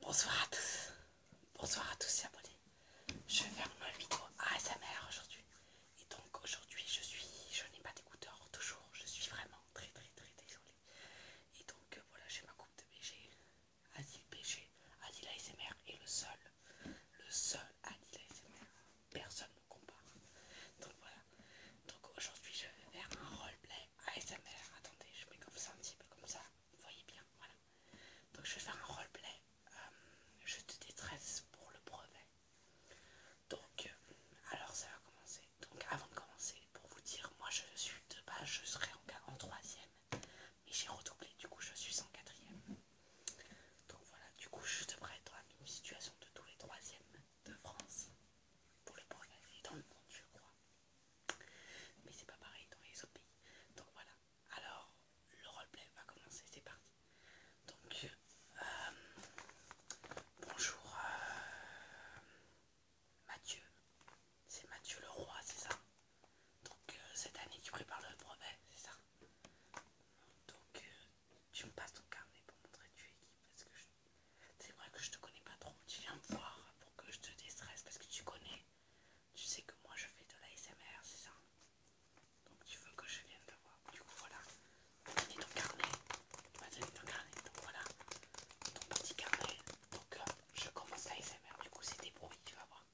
Bonsoir à tous, bonsoir à tous et abonnés. Je vais faire une vidéo ASMR aujourd'hui. Et donc aujourd'hui je suis, je n'ai pas d'écouteurs toujours, je suis vraiment très très très désolée. Et donc euh, voilà, j'ai ma coupe de BG, Asile BG, la ASMR est le seul, le seul Asile ASMR. Personne ne compare. Donc voilà, donc aujourd'hui je vais faire un roleplay ah, mère Attendez, je mets comme ça un petit peu comme ça. Vous voyez bien, voilà. Donc je vais faire un roleplay. Euh, je te détresse pour le brevet. Donc, euh, alors ça va commencer. Donc avant de commencer, pour vous dire, moi je suis de base, je serai en, troisième. Mais j'ai redoublé, du coup je suis en quatrième. Donc voilà, du coup je devrais être dans la situation de tous les troisièmes de France. Pour le brevet dans le monde, je crois. Mais c'est pas pareil dans les autres pays. Donc voilà. Alors le roleplay va commencer, c'est parti. Donc euh, bonjour euh, Mathieu. C'est Mathieu le roi, c'est ça Donc euh, cette année tu prépares le brevet, c'est ça Donc tu me passes ton carnet pour montrer tu es qui parce que je c'est vrai que je te connais pas trop, tu viens me voir pour que je te déstresse parce que tu connais, tu sais que moi je fais de l'ASMR, c'est ça Donc tu veux que je vienne te voir, du coup voilà, tu m'as donné ton carnet, tu m'as ton carnet, donc voilà, ton petit carnet, donc euh, je commence l'ASMR, du coup c'est des bruits, tu vas voir,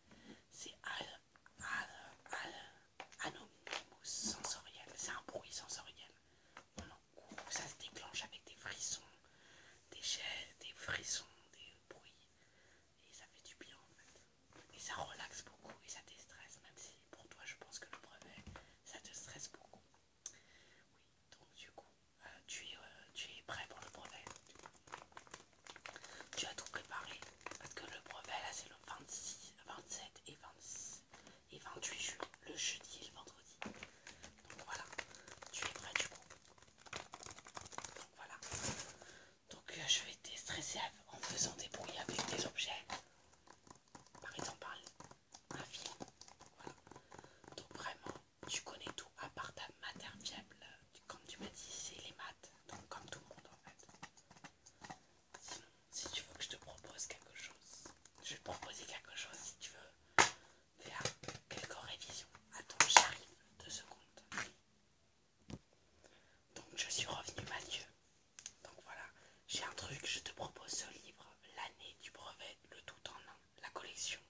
c'est al, al, al, sensoriel, c'est un bruit sensoriel ça se déclenche avec des frissons, des gels, des frissons, des bruits. Et ça fait du bien en fait. Et ça relaxe beaucoup et ça déstresse, même si pour toi je pense que le brevet, ça te stresse beaucoup. Oui, donc du coup, euh, euh, tu, es, prêt pour le brevet. Tu as tout préparé. Parce que le brevet là c'est le 26, 27 et, 26 et 28 juin. Le jeudi et le vendredi. Donc voilà, tu es prêt du coup. Voilà. Donc euh, je vais stresser en faisant des bruits avec des objets. Par exemple, un film. Voilà. Donc vraiment, tu connais tout à part ta matière fiable. Comme tu m'as dit, c'est les maths. Donc comme tout le monde en fait. Sinon, si tu veux que je te propose quelque chose, je vais te proposer quelque chose si tu veux faire quelques révisions. Attends, j'arrive deux secondes. Donc je suis revenue Mathieu. Donc voilà, j'ai un truc, je te propose ce livre, l'année du brevet, le tout en un, la collection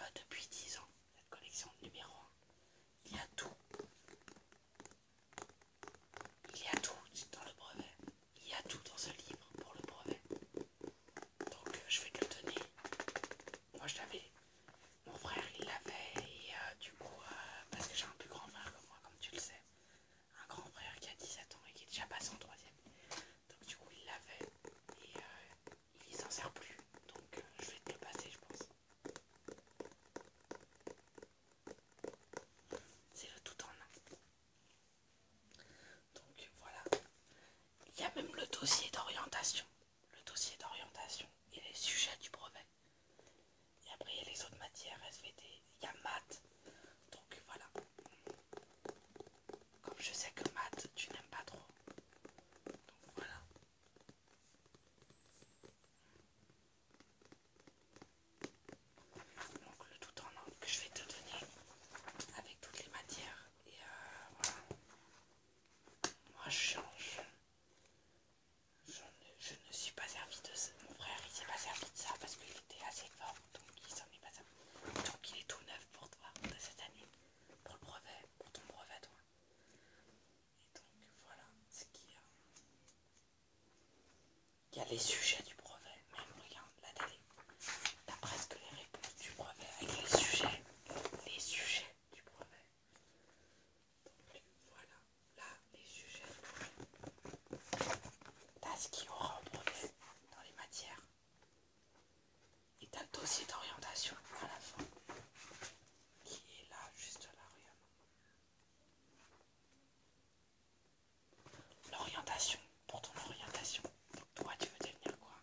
euh, depuis 10 ans, La collection numéro 1. Il y a tout. Il y a tout dans le brevet. Il y a tout dans ce livre pour le brevet donc euh, je vais te le donner. Moi je l'avais, mon frère il l'avait et euh, du coup, parce que j'ai un plus grand frère que moi, comme tu le sais, un grand frère qui a 17 ans et qui est déjà passé en troisième. Donc du coup il l'avait et euh, il s'en sert plus, donc je vais te le passer je pense. C'est le tout en un. Donc voilà. Il y a même le dossier d'orientation le dossier d'orientation et les sujets du brevet. Et après, il y a les autres matières, SVT, il y a maths. Donc voilà. Comme je sais que maths, tu n'aimes pas trop. Donc voilà. Donc le tout en ordre que je vais te donner avec toutes les matières. Et euh, voilà. Moi je change. Je, ne suis pas servi de ça. Mon frère il s'est pas servi de ça parce qu'il était assez fort donc il s'en est pas Donc il est tout neuf pour toi de cette année. Pour le brevet, pour ton brevet toi. Et donc voilà ce qu'il y a. Il y a les sujets du brevet, même regarde la télé. T'as presque les réponses du brevet avec les sujets. Les sujets du brevet. voilà, là les sujets. T'as ce qui aura au dans les matières. Et t'as le dossier d'orientation à la fin qui est là, juste là, l'arrière. L'orientation, pour ton orientation. Toi, tu veux devenir quoi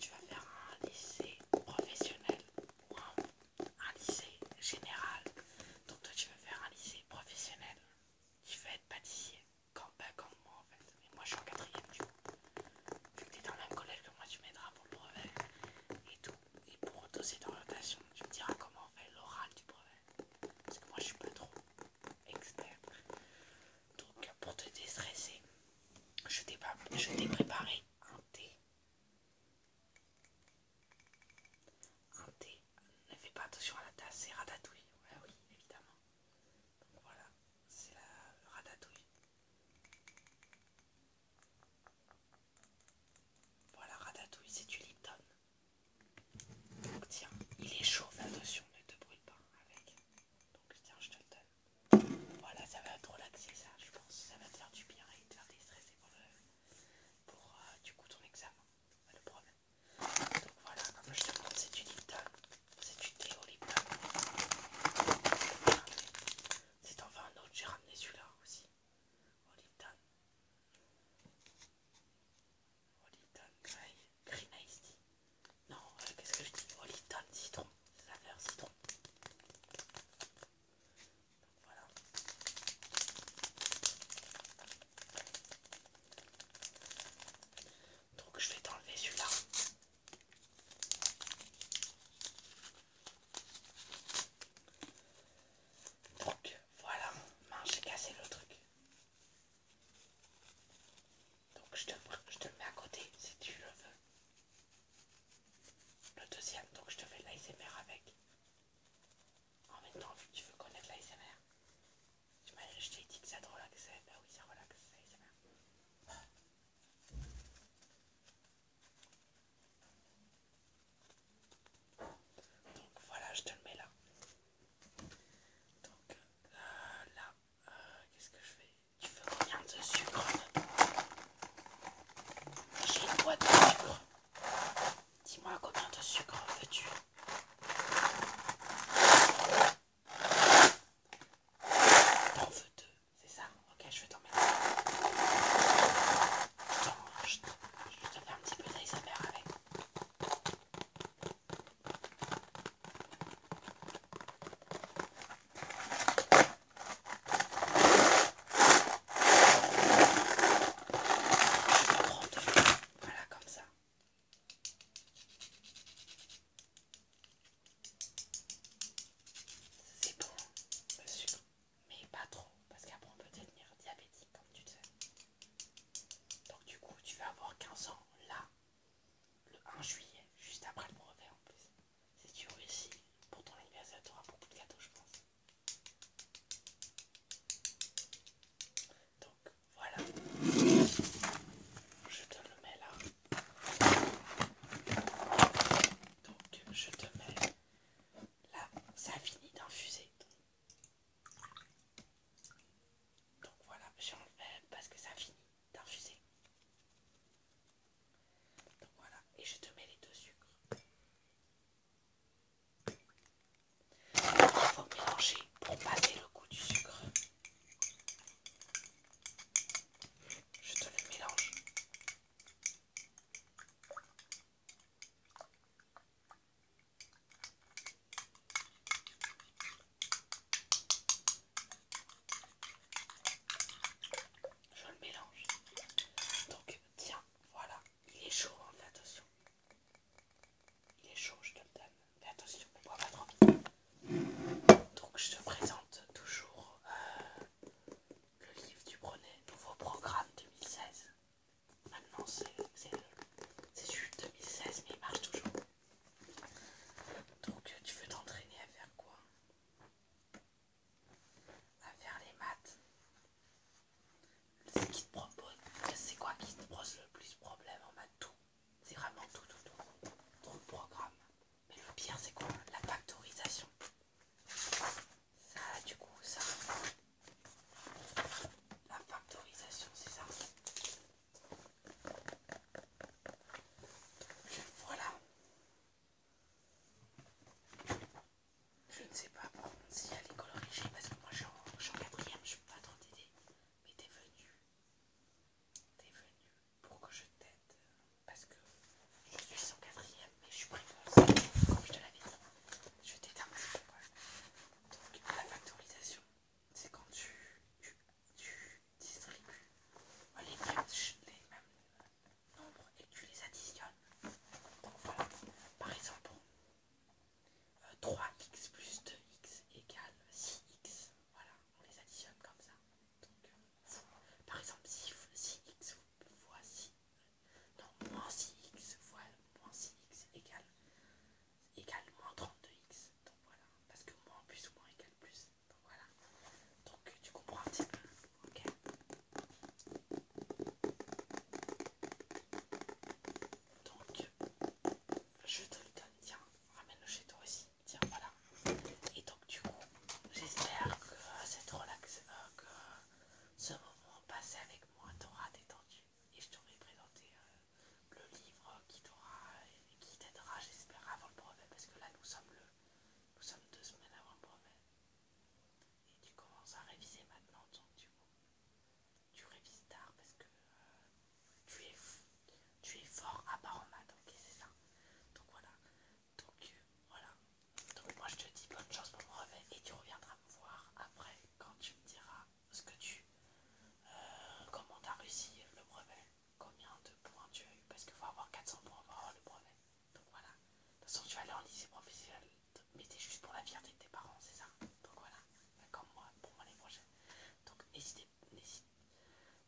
tu vas faire un lycée professionnel ou un, lycée général. Donc toi tu vas faire un lycée professionnel. Tu vas être pâtissier. Comme, moi en fait. Mais moi je suis en quatrième du coup. Vu que t'es dans le même collège que moi, tu m'aideras pour le brevet et tout. Et pour dossier d'orientation, tu me diras comment on fait l'oral du brevet. Parce que moi je suis pas trop expert. Donc pour te déstresser, je t'ai préparé un thé. Un thé, ne fais pas attention à la tasse, c'est radatouille oui, évidemment. Donc voilà, c'est la ratatouille. Voilà, ratatouille, c'est du Lipton. Donc tiens, il est chaud, attention, ne te brûle pas avec. Donc tiens, je te le donne. Voilà, ça va te relaxer ça, je pense. Ça va te faire du bien et te faire déstresser pour, euh, du coup ton examen. le problème. Donc voilà, comme je te montre, c'est du Lipton. C'est du thé au Lipton. C'est enfin un autre, j'ai ramené celui-là aussi. Au Lipton. Au Lipton Green Ice non, euh, qu'est-ce que je dis Oh, Little citron, saveur citron. Donc voilà. Donc je vais t'enlever celui-là. Donc voilà, j'ai cassé le truc. Donc je te, le mets à côté si tu le veux. Le deuxième, donc je te fais l'ASMR avec. En même temps, vu que tu veux connaître l'ASMR, je t'ai dit que ça te relaxait. Ben oui, ça relaxe, l'ASMR. Donc voilà, je te le mets là. Donc euh, là, euh, qu'est-ce que je fais tu veux combien de sucre J'ai une boîte de sucre. Dis-moi combien de sucre veux-tu T'en veux deux, c'est ça Ok, je vais t'en mettre deux. Je, je te fais un petit peu d'ASMR avec. Voilà, comme ça. C'est bon, mais pas trop, parce qu'après on peut devenir diabétique, comme tu te sais. Donc du coup, tu vas avoir 15 ans là, le 1 juillet, juste après le brevet en plus. Si tu réussis pour ton anniversaire, tu auras beaucoup de gâteaux, je pense. Donc voilà, je te le mets là. Donc je te mets là, ça finit fini d'infuser. Donc voilà, j'enlève parce que ça finit d'infuser. Donc voilà, et je te mets les deux sucres. Il faut mélanger pour passer le goût du sucre. Je te le mélange. Je le mélange. Donc tiens, voilà. Il est chaud, hein, attention. Il est chaud, je te le donne. Fais attention, ne bois pas trop Donc je te présente toujours euh, le livre du Brunet nouveau programme 2016. Maintenant c'est juste 2016 mais il marche toujours. Donc tu veux t'entraîner à faire quoi à faire les maths. c'est quoi qui te pose le plus problème en maths Tout. C'est vraiment tout, tout, tout. Trop de programme. Mais le pire, c'est quoi La factorisation. Ça, du coup, ça. La factorisation, c'est ça. Voilà. Je ne sais pas si elle est colorée, parce que moi je suis en quatrième, je n'ai pas trop t'aider. Mais t'es venu, t'es venu pour que je t'aide, parce que je suis en quatrième, mais je suis prête. comme je te la dit. Je t'aide un Donc la factorisation, c'est quand tu, distribues les mêmes, les mêmes nombre et tu les additionnes. Donc voilà, par exemple, 3x euh, plus 2x égale 6x. Voilà, on les additionne comme ça. Donc, euh, par exemple, 6x fois 6, non, moins 6x fois moins 6x égale, égale moins 32x. Donc voilà, parce que moins plus ou moins égale plus. Donc voilà. Donc tu comprends un petit peu. Ok. Donc je te le donne. Tiens, ramène-le chez toi aussi. Tiens, voilà. Et donc du coup, j'espère que cette euh, ce moment passé avec moi t'aura détendu et je t'aurai présenté euh, le livre qui t'aura qui t'aidera j'espère avant le problème parce que là nous sommes le nous sommes deux semaines avant le brevet. Et tu commences à réviser maintenant donc du tu Tu révises tard parce que euh, tu, es, fort à part en maths, ok c'est ça. Donc voilà. Donc euh, voilà. Donc moi je te dis bonne chance pour le brevet et tu reviendras me voir après quand tu me diras ce que tu euh, comment as réussi le brevet, combien de points tu as eu, parce qu'il faut avoir 400 points pour avoir le brevet. Donc voilà. De toute façon, tu vas aller en lycée professionnel, mais t'es juste pour la fierté de tes parents, c'est ça Donc voilà, bah, comme moi, pour moi les prochaines. Donc n'hésite,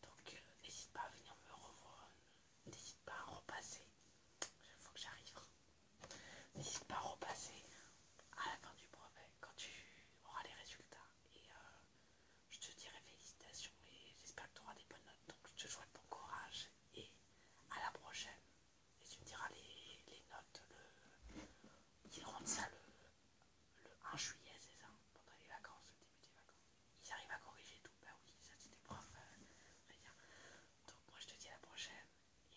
donc, euh, n'hésite pas à venir me revoir, n'hésite pas à repasser, il faut que j'arrive. N'hésite pas à repasser à la fin du brevet quand tu auras les résultats. Et euh, je te dirai félicitations et j'espère que tu auras des bonnes notes. Donc je te souhaite bon courage et à la prochaine. Et tu me diras les, notes, le, ils rendent ça le, 1 juillet, c'est ça, pendant les vacances, le début des vacances. Ils arrivent à corriger tout, bah oui, ça c'était prof, euh, très Donc moi je te dis à la prochaine,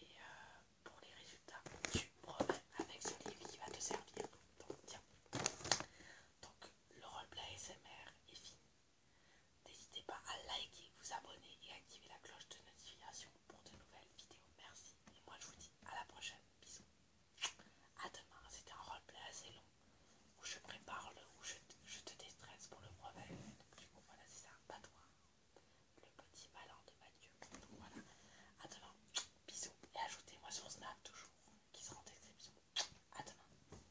et euh, pour les résultats, tu promets avec ce livre qui va te servir. Donc tiens, donc le roleplay SMR est fini. N'hésitez pas à liker, vous abonner et activer la cloche de notification pour de nouvelles vidéos. Merci. Et moi, je vous dis à la prochaine. Bisous. À demain. C'était un roleplay assez long où je prépare le, où je, te déstresse pour le brevet. Donc, du coup, voilà, c'est ça. Pas toi. Le petit malin de Mathieu. voilà. À demain. Bisous. Et ajoutez-moi sur Snap toujours qui sera en description. À demain.